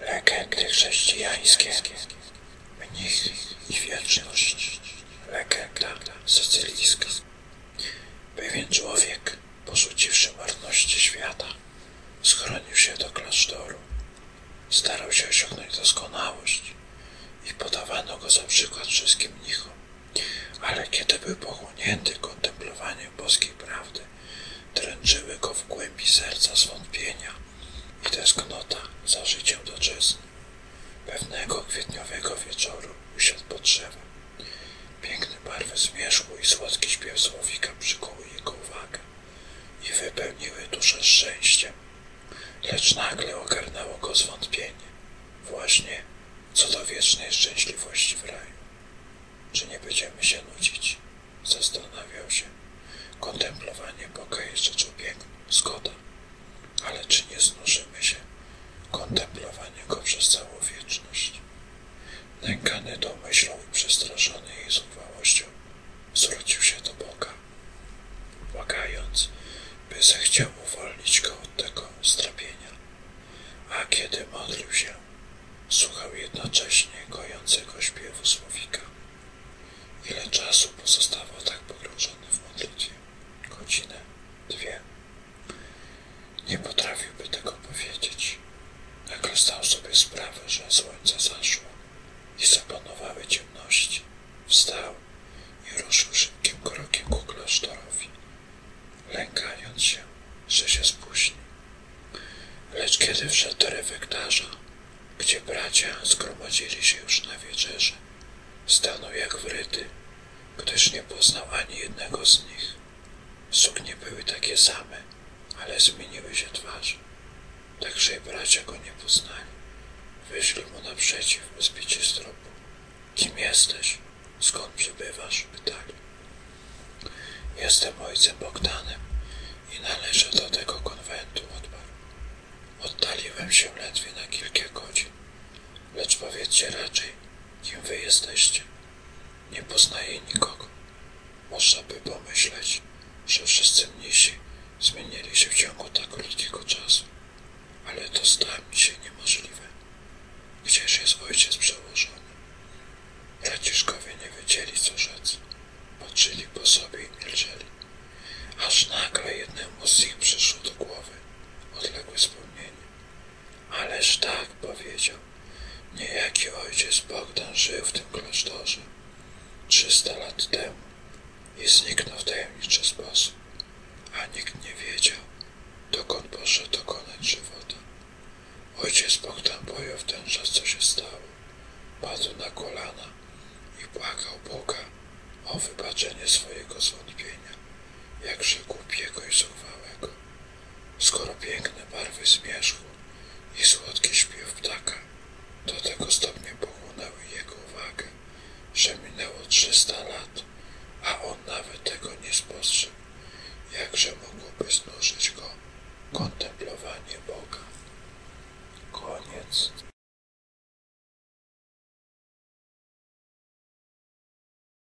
Legendy chrześcijańskie, mnich i wieczność. Legenda sycylijska. Pewien człowiek, porzuciwszy marności świata, schronił się do klasztoru. Starał się osiągnąć doskonałość i podawano go za przykład wszystkim mnichom. Ale kiedy był pochłonięty kontemplowaniem boskiej prawdy, prawdy. Dręczyły go w głębi serca zwątpienia i tęsknota za życiem doczesnym. Pewnego kwietniowego wieczoru usiadł pod drzewem. Piękne barwy zmierzchu i słodki śpiew słowika przykuły jego uwagę i wypełniły duszę szczęściem. Lecz nagle ogarnęło go zwątpienie. Właśnie co do wiecznej szczęśliwości w czy nie będziemy się nudzić? Zastanawiał się. Kontemplowanie Boga jest rzeczą piękną. Zgoda. Ale czy nie znużymy się? Kontemplowanie Go przez całą wieczność. Nękany tą myślą i przestraszony jej zuchwałością, zwrócił się do Boga, błagając, by zechciał uwolnić go od tego strapienia a kiedy modlił się, słuchał jednocześnie kojącego śpiewu słowika. Ile czasu pozostawał tak pogrążony w modlitwie? Godzinę, dwie. Nie potrafiłby tego powiedzieć. Nagle zdał sobie sprawę, że słońce zaszło i zapanowały ciemności. Wstał i ruszył szybkim krokiem ku klasztorowi, lękając się, że się spóźni. Lecz kiedy wszedł do refektarza, gdzie bracia zgromadzili się już na wieczerzy, stanął jak wryty, gdyż nie poznał ani jednego z nich. Suknie były takie same, ale zmieniły się twarze. Także i bracia go nie poznali. Wyszli mu naprzeciw, by zbicie z tropu. Kim jesteś? Skąd przebywasz? Pytali. Jestem ojcem Bogdanem i należę do tego konwentu, odparł. Oddaliłem się ledwie na kilka godzin. Lecz powiedzcie raczej, kim wy jesteście. Nie poznaję nikogo. Można by pomyśleć, że wszyscy mnisi zmienili się w ciągu tak krótkiego czasu, ale to stało mi się niemożliwe. Gdzież jest ojciec przełożony? Braciszkowie nie wiedzieli, co rzec. Patrzyli po sobie i milczeli. Aż nagle jednemu z nich przyszło do głowy odległe wspomnienie. Ależ tak, powiedział. Niejaki ojciec Bogdan żył w tym klasztorze trzysta lat temu i zniknął w tajemniczy sposób, a nikt nie wiedział, dokąd poszedł dokonać żywota. Ojciec Bogdan bojął w ten czas, co się stało. Padł na kolana i błagał Boga o wybaczenie swojego zwątpienia, jakże głupiego i zuchwałego skoro piękne barwy zmierzchu i słodki śpiew ptaka do tego stopnia pochłonęły jego uwagę, że minęło trzysta lat, a on nawet tego nie spostrzegł, jakże mogłoby znużyć go kontemplowanie Boga. Koniec.